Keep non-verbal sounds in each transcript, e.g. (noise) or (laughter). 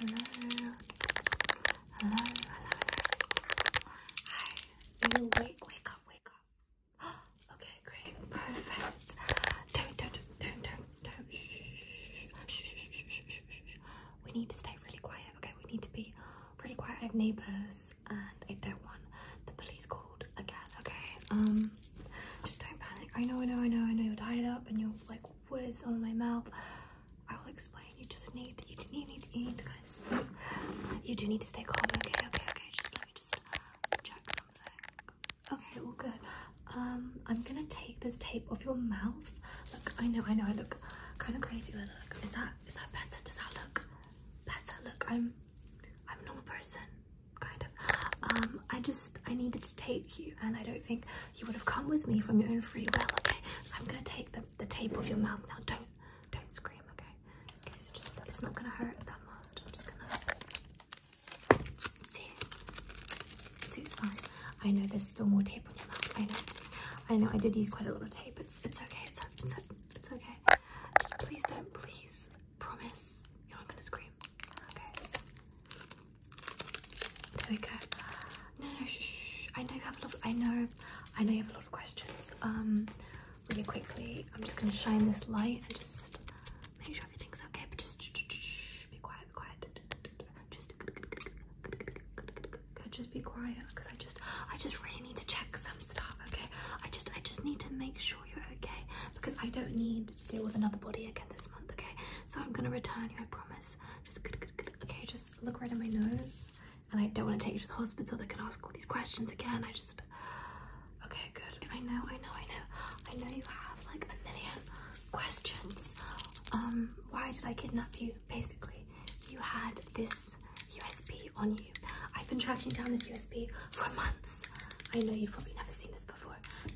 Hello. Hello, hello, Hi. You wake, wake up, wake up. (gasps) okay, great. Perfect. Don't, don't, don't, don't, don't. Shh, shh, shh, shh, shh, shh, shh. We need to stay really quiet, okay? We need to be really quiet. I have neighbours and I don't want the police called again, okay? Um, just don't panic. I know, I know, I know, I know you're tied up and you're like, what is on my mouth? I will explain. You just need, you need, need, you need to guys. You do need to stay calm. Okay, okay, okay. Just let me just check something. Okay, well, good. Um, I'm gonna take this tape off your mouth. Look, I know, I know, I look kind of crazy, but look, is that is that better? Does that look better? Look, I'm I'm a normal person kind of. Um, I just, I needed to take you and I don't think you would have come with me from your own free will, okay? I'm gonna take the, the tape off your mouth now. Don't, don't scream, okay? Okay, so just, it's not gonna hurt that much. I'm just gonna, see? See, it's fine. I know there's still more tape on your mouth, I know. I know, I did use quite a lot of tape. It's, it's okay, it's, it's, it's okay. Just please don't, please, promise you're not gonna scream. Okay. There we go. No, no, shh, I know you have a lot. Of, I know, I know you have a lot of questions. Um, really quickly, I'm just gonna shine this light and just make sure everything's okay. But just shh, be quiet, be quiet. Just, just be quiet, because I just, I just really need to check some stuff. Okay, I just, I just need to make sure you're okay because I don't need to deal with another body again this month, okay? So I'm gonna return you, I promise. Just good, good, good. Okay, just look right in my nose. And I don't want to take you to the hospital They can ask all these questions again. I just okay, good. I know, I know, I know. I know you have like a million questions. Um, why did I kidnap you? Basically, you had this USB on you. I've been tracking down this USB for months. I know you've probably never seen this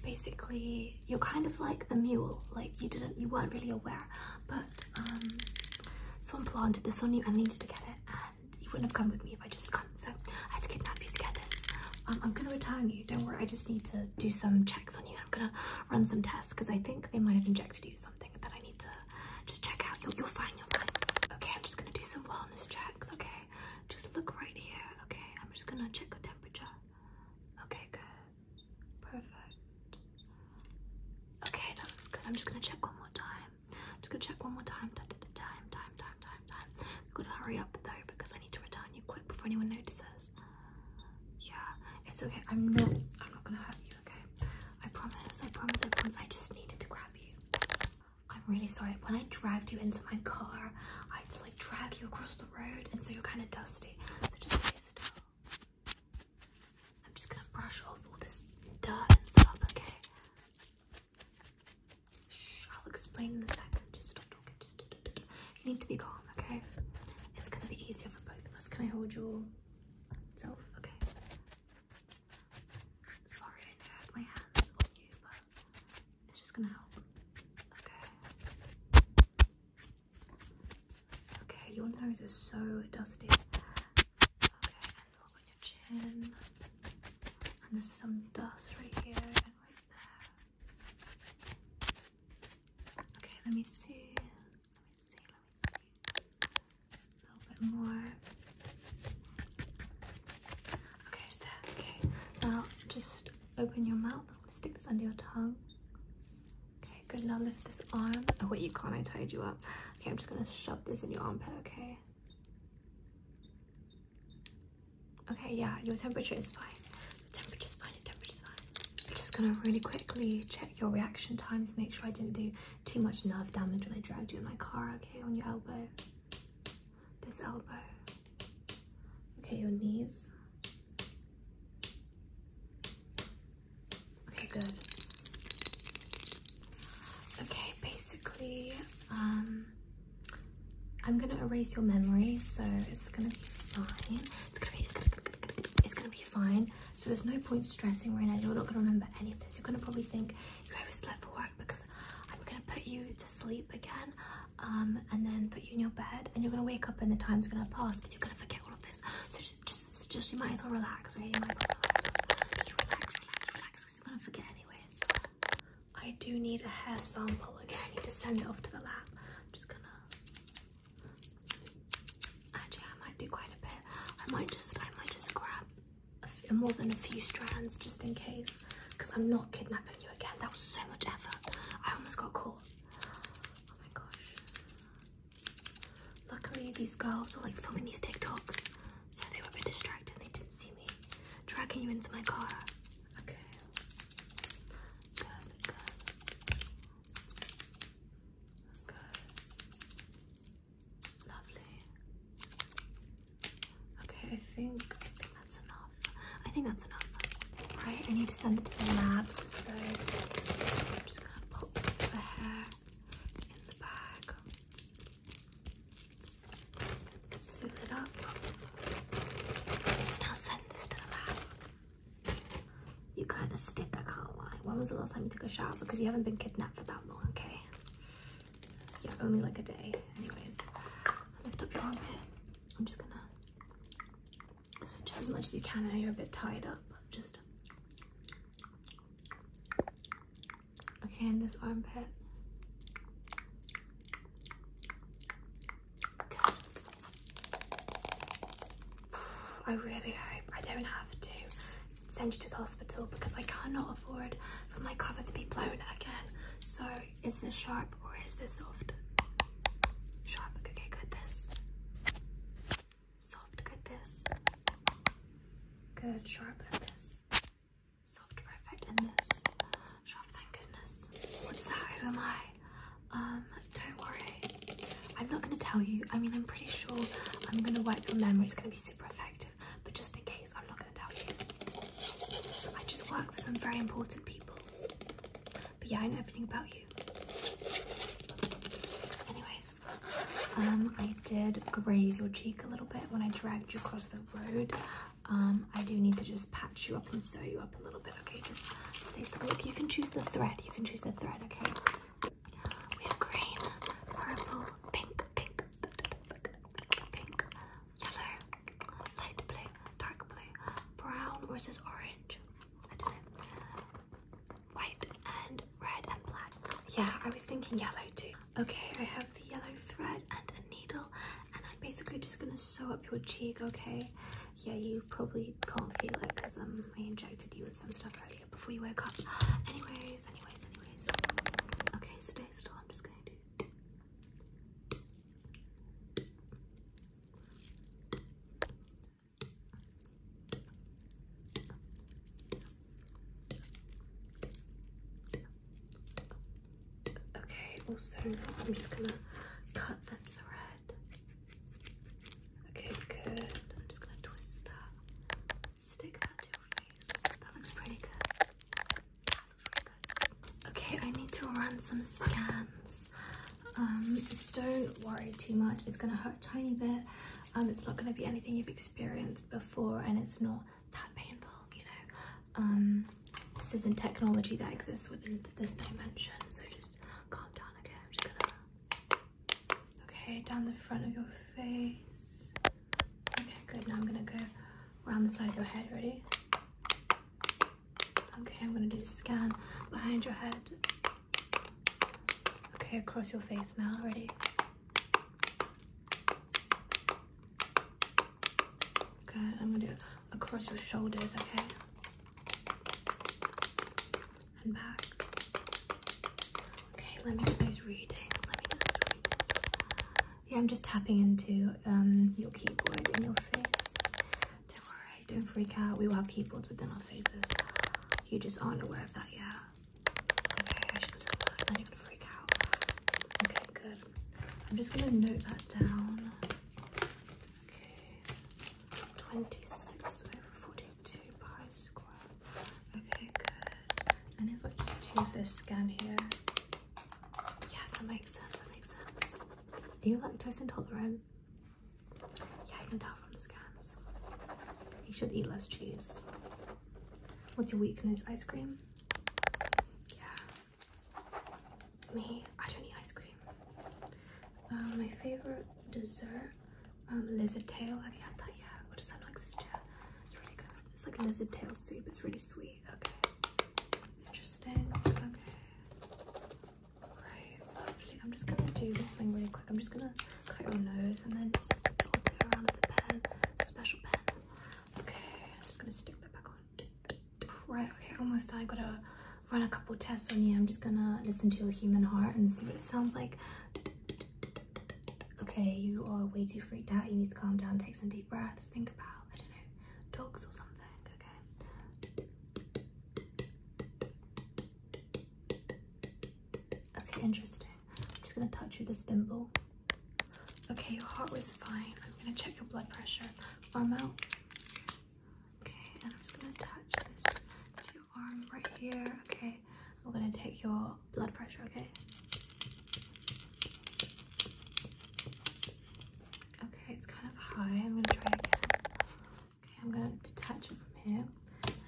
Basically, you're kind of like a mule, like you didn't, you weren't really aware, but um, someone planted this on you and needed to get it, and you wouldn't have come with me if I just come. So I had to kidnap you to get this. Um, I'm gonna return you. Don't worry. I just need to do some checks on you. I'm gonna run some tests because I think they might have injected you something that I need to just check out. You're, you're fine. You're fine. Okay, I'm just gonna do some wellness checks. Okay. Just look right here, okay? I'm just gonna check your temperature. Okay, good. Perfect. Okay, that looks good. I'm just gonna check one more time. I'm just gonna check one more time. Time, time, time, time, time, time. gotta hurry up though because I need to return you quick before anyone notices. Yeah, it's okay. I'm not I'm not gonna hurt you, okay? I promise, I promise, I promise. I just needed to grab you. I'm really sorry. When I dragged you into my car, I had to like drag you across the road, and so you're kind of dusty. So just stay still. I'm just gonna brush off all this dirt and stuff, okay? I'll explain in a second. Just stop talking. Just you need to be calm, okay? It's gonna be easier for both of us. Can I hold your self? Okay. Sorry, I know I had my hands on you, but it's just gonna help. Okay. Okay, your nose is so dusty. Okay, and on your chin. And there's some dust right here and right there. Okay, let me see. Let me see, let me see. A little bit more. Okay, okay. Now just open your mouth. I'm gonna stick this under your tongue. Okay, good. Now lift this arm. Oh wait, you can't, I tied you up. Okay, I'm just gonna shove this in your armpit, okay? Okay, yeah, your temperature is fine. The temperature's fine, the temperature's fine. I'm just gonna really quickly check your reaction times, make sure I didn't do too much nerve damage when I dragged you in my car, okay, on your elbow this elbow. Okay, your knees. Okay, good. Okay, basically, um, I'm gonna erase your memory, so it's gonna be fine. It's gonna be, it's gonna, it's gonna be fine. So there's no point stressing right now. You're not gonna remember any of this. You're gonna probably think you overslept for work because I'm gonna put you to sleep again um, and then put you in your bed and you're gonna wake up and the time's gonna pass but you're gonna forget all of this. So just, just, just you might as well relax, You might as well relax, relax, relax because you're gonna forget anyways. I do need a hair sample again. I need to send it off to the lab. I'm just gonna... Actually, I might do quite a bit. I might just, I might just grab more than a few strands just in case because I'm not kidnapping you again. That was so much effort. I almost got caught. Oh my gosh. Luckily, these girls were like filming these TikToks, so they were a bit distracted and they didn't see me dragging you into my car. Okay. Good, good. Good. Lovely. Okay, I think, that's enough. I think that's enough. Right, I need to send it to the labs, so I'm just gonna pop the hair in the bag, seal it up. Now send this to the lab. You kind of stick, I can't lie. When was the last time you took a shower? Because you haven't been kidnapped for that long, okay? yeah, only like a day. Anyways, lift up your armpit. I'm just gonna, just as much as you can. Now you're a bit tied up, just. Okay, in this armpit. (sighs) I really hope I don't have to send you to the hospital because I cannot afford for my cover to be blown again. So is this sharp or is this soft? Sharp, okay, good this. Soft, good this. Good, sharp, and this. Soft, perfect, and this. Sharp, thank goodness. What's that? Who am I? Um, don't worry. I'm not gonna tell you. I mean, I'm pretty sure I'm gonna wipe your memory. It's gonna be super effective but just in case, I'm not going to tell you. I just work for some very important people. But yeah, I know everything about you. Anyways, um, I did graze your cheek a little bit when I dragged you across the road. Um, I do need to just patch you up and sew you up a little bit, okay? Just stay still. Look, you can choose the thread. You can choose the thread, okay? We have green, purple, pink, pink, pink, yellow, light blue, dark blue, brown, versus orange? I don't know. White and red and black. Yeah, I was thinking yellow too. Okay, I have the yellow thread and a needle, and I'm basically just gonna sew up your cheek, okay? Yeah, you probably can't feel it because um, I injected you with some stuff earlier before you woke up. Anyways, anyways, anyways. Okay, stay still. I'm just gonna Okay, also I'm just gonna cut the thread. Okay, good. I'm just gonna twist that. Stick that to your face. That looks pretty good. Okay, I need to run some scans. Um, don't worry too much. It's gonna hurt a tiny bit. Um, it's not gonna be anything you've experienced before, and it's not that painful. You know, um, this is a technology that exists within this dimension. So just calm down. Okay, I'm just gonna. Okay, down the front of your face. Okay, good. Now I'm gonna go around the side of your head. Ready? Okay, I'm gonna do the scan behind your head. Okay, across your face now. Ready? Good. I'm gonna do it across your shoulders. Okay. And back. Okay, let me do those readings. Yeah, I'm just tapping into um, your keyboard in your face. Don't worry, don't freak out. We will have keyboards within our faces. You just aren't aware of that yet. Okay, I shouldn't have that. you're going freak out. Okay, good. I'm just gonna note that down. Okay, 26 over 42 pi squared. Okay, good. And if I just do this scan here, yeah, that makes sense. That makes sense. Are you lactose intolerant? Yeah, I can tell from the scans. You should eat less cheese. What's your weakness? Ice cream? Yeah. Me, I don't eat ice cream. Um, my favorite dessert, um, lizard tail. Have you had that yet? Or does that not exist yet? It's really good. It's like lizard tail soup. It's really sweet. Okay. Interesting. Okay. Right. I'm just gonna do this thing really quick. I'm just gonna cut your nose and then just dot it around with the pen. Special pen. Okay. I'm just gonna stick that back on. Right. Okay. Almost done. I gotta run a couple tests on you. I'm just gonna listen to your human heart and see what it sounds like okay, you are way too freaked out, you need to calm down, take some deep breaths, think about, I don't know, dogs or something, okay? Okay, interesting. I'm just gonna touch you with this thimble. Okay, your heart was fine. I'm gonna check your blood pressure. Arm out. Okay, and I'm just gonna touch this to your arm right here. Okay, okay? I'm gonna take your blood pressure, okay? Okay, it's kind of high. I'm gonna try again. Okay, I'm gonna detach it from here.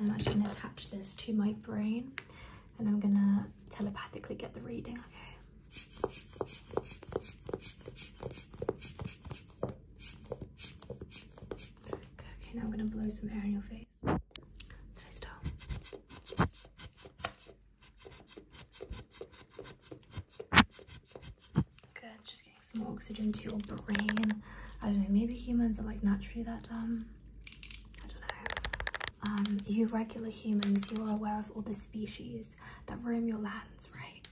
I'm actually gonna attach this to my brain and I'm gonna telepathically get the reading, Okay, okay now I'm gonna blow some air in your face. Stay still. Good, just getting some oxygen to your brain. I don't know, maybe humans are like naturally that dumb. I don't know. Um, you regular humans, you are aware of all the species that roam your lands, right?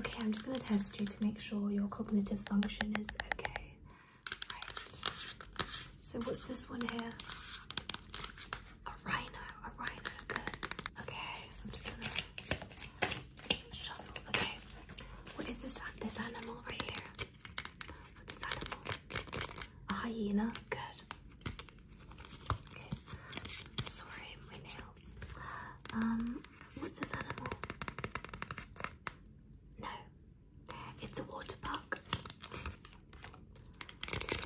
Okay, I'm just gonna test you to make sure your cognitive function is okay. So what's this one here? A rhino, a rhino, good. Okay, I'm just gonna shuffle. Okay, what is this? This animal right here. What is this animal? A hyena, good. Okay, sorry, my nails. Um, what's this animal? No, it's a water park. What's this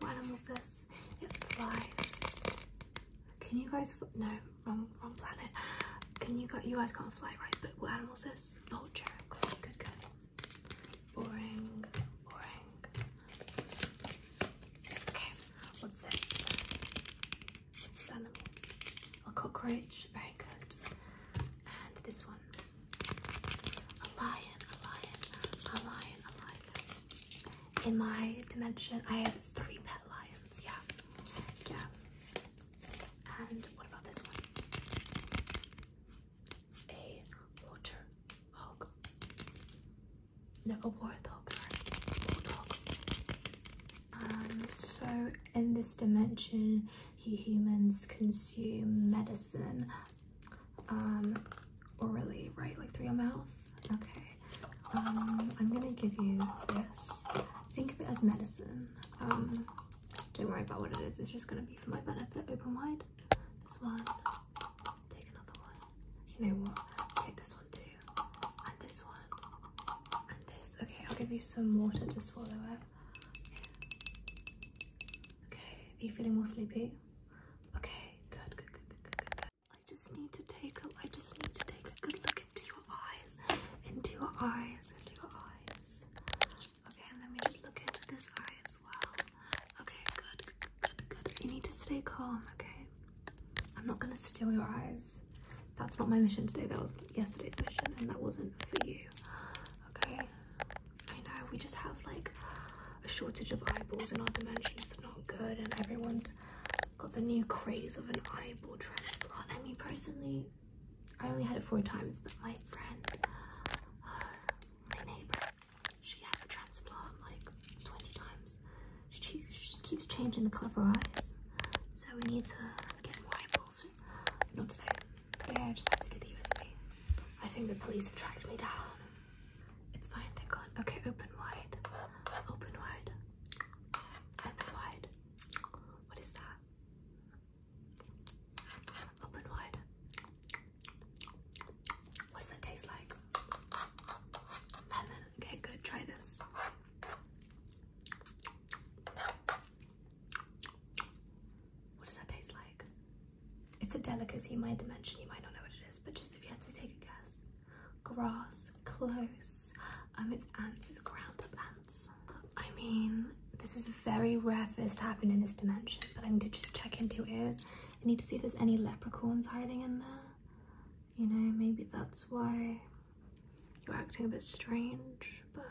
one? this? It flies. Can you guys no wrong wrong planet? Can you guys you guys can't fly right? But what animal's this? Vulture. Good, good, Boring, boring. Okay, what's this? A cockroach. Very good. And this one. A lion. A lion. A lion. A lion. In my dimension, I have three pet lions. Yeah. Yeah. And what about this one? A water hog. No, a warthog. Sorry. Warthog. Um, so in this dimension, you humans consume medicine um, orally, right? Like through your mouth? Okay. Um, I'm gonna give you this. Think of it as medicine. Um, don't worry about what it is, it's just gonna be for my benefit. Open wide. This one. Take another one. You know what? Take this one too. And this one. Okay, I'll give you some water to swallow it. Okay, are you feeling more sleepy? Okay, good, good, good, good, I just need to take a I just need to take a good look into your eyes. Into your eyes, into your eyes. Okay, and let me just look into this eye as well. Okay, good, good, good, good. You need to stay calm, okay? I'm not gonna steal your eyes. That's not my mission today. That was yesterday's mission, and that wasn't for you. Okay. I know we just have like a shortage of eyeballs in our dimension. It's not good, and everyone's got the new craze of an eyeball transplant. I mean, personally, I only had it four times, but my friend, uh, my neighbor, she had a transplant like 20 times. She, she just keeps changing the color of her eyes. So we need to get more eyeballs not today. Yeah, I just had to get the USB. I think the police have tracked me down. It's fine, they're gone. Okay, open wide. Open wide. Open wide. What is that? Open wide. What does that taste like? Lemon. Okay, good. Try this. What does that taste like? It's a delicacy my dimension, you might not know what it is, but just if you had to take a guess. Grass, close, um, it's ants, it's ground ants. I mean, this is very rare for this to happen in this dimension, but I need to just check into it. I need to see if there's any leprechauns hiding in there. You know, maybe that's why you're acting a bit strange, but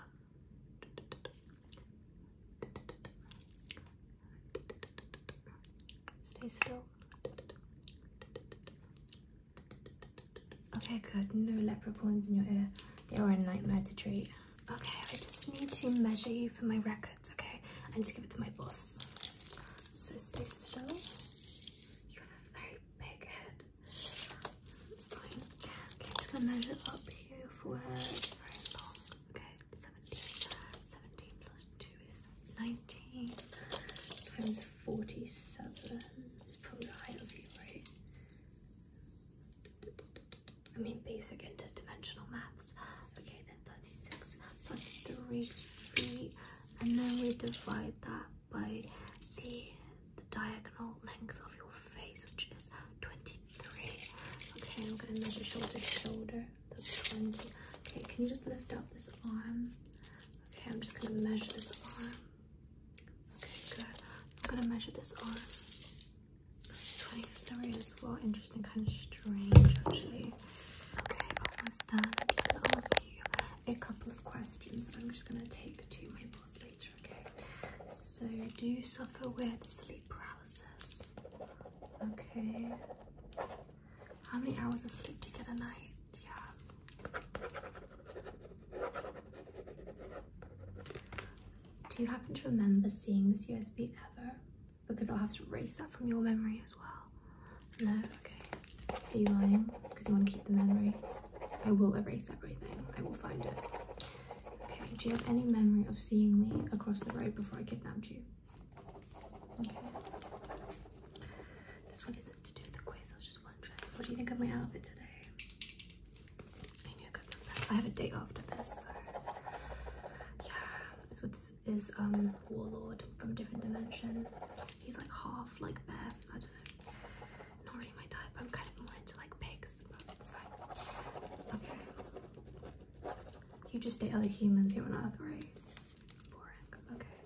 stay still. Okay, good. No leprechauns in your ear. They are a nightmare to treat. Okay, I just need to measure you for my records, okay? I need to give it to my boss. So stay still. You have a very big head. It's fine. Okay, I'm gonna measure up here for her. Okay, 17. 17 plus 2 is 19 times 47. It's probably the height of you, right? I mean basic interdimensional maths. Okay, then 36 plus 3 feet. And then we divide that by the, diagonal length of your face, which is 23. Okay, I'm gonna measure shoulder to shoulder. That's 20. Okay, can you just lift up this arm? Okay, I'm just gonna measure this arm. Okay, good. I'm gonna measure this arm. 23 as well. Interesting, kind of strange actually. Okay, almost done. I'm just gonna ask you a couple of questions I'm just going to take to my boss later, okay? So, do you suffer with sleep paralysis? Okay. How many hours of sleep do you get a night? Yeah. Do you happen to remember seeing this USB ever? Because I'll have to erase that from your memory as well. No? Okay. Are you lying? Because you want to keep the memory. I will erase everything. I will find it. Okay, do you have any memory of seeing me across the road before I kidnapped you? Okay. This one isn't to do with the quiz, I was just wondering. What do you think of my outfit today? I have a day after this, so yeah. This is um Warlord from Different Dimension. He's like half like bear. I don't know. Not really my type. I'm kind of more into like pigs, but fine. Okay. You just date other humans here on Earth, right? Boring. Okay.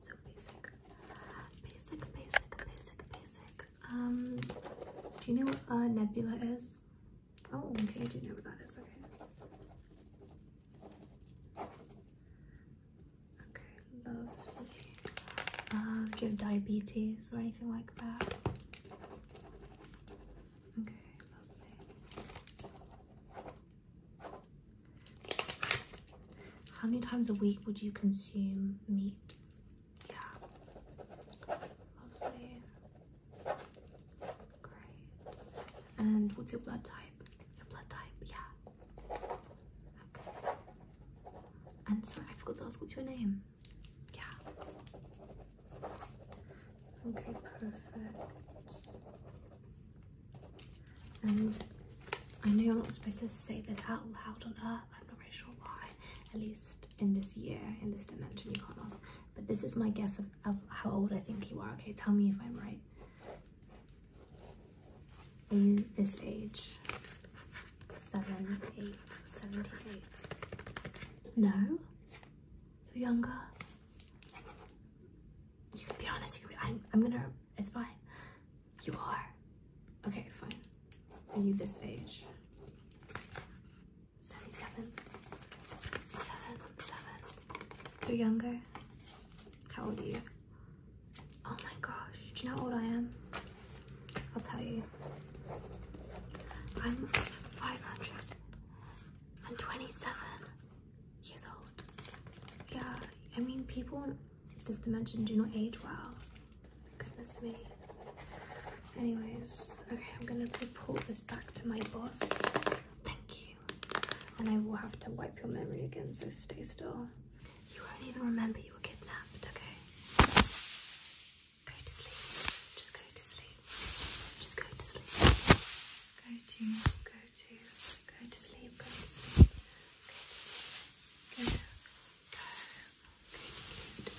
So basic. Basic, basic, basic, basic. Um, do you know what a nebula is? Oh, okay, I do know what that is. Okay. Okay, lovely. Uh, do you have diabetes or anything like that? Okay, lovely. How many times a week would you consume meat? Yeah. Lovely. Great. And what's your blood type? your blood type, yeah. Okay. And sorry, I forgot to ask what's your name. Yeah. Okay, perfect. And I know you're not supposed to say this out loud on earth. I'm not really sure why. At least in this year, in this dimension, you can't But this is my guess of how old I think you are. Okay, tell me if I'm right. Are you this age. Seven, eight, 78. No? You're younger. You can be honest, you can be, I'm, I'm gonna, it's fine. You are. Okay, fine. Are you this age? 77, 7, 7. You're younger. How old are you? Oh my gosh, do you know how old I am? I'll tell you. I'm 527 years old. Yeah, I mean, people in this dimension do not age well. Goodness me. Anyways, okay, I'm gonna report this back to my boss. Thank you. And I will have to wipe your memory again, so stay still. You won't even remember you were kidnapped, okay? Go to sleep. Just go to sleep. Just go to sleep. Go to, go to, go to sleep, go to sleep. Go go, go to sleep.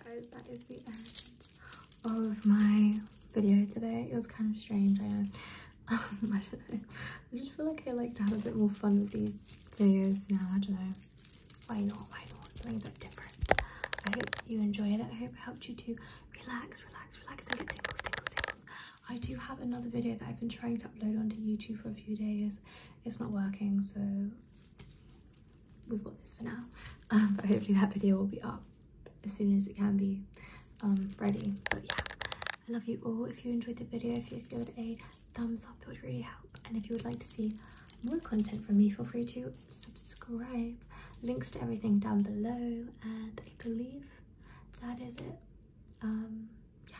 (laughs) Okay guys, that is the end of my video today. It was kind of strange, I (laughs) know. I don't know. I just feel like I like to have a bit more fun with these videos now. I don't know. Why not? Why not? Something a bit different. I hope you enjoyed it. I hope it helped you to relax, relax, relax and get tingles, tingles, tingles. I do have another video that I've been trying to upload onto YouTube for a few days. It's not working, so we've got this for now. Um, but hopefully that video will be up as soon as it can be um, ready. But yeah, I love you all. If you enjoyed the video, if you give it a thumbs up, it would really help. And if you would like to see more content from me, feel free to subscribe. Links to everything down below. And I believe that is it. Um, yeah.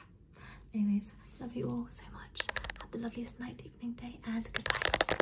Anyways, love you all so much. Have the loveliest night, evening, day, and goodbye.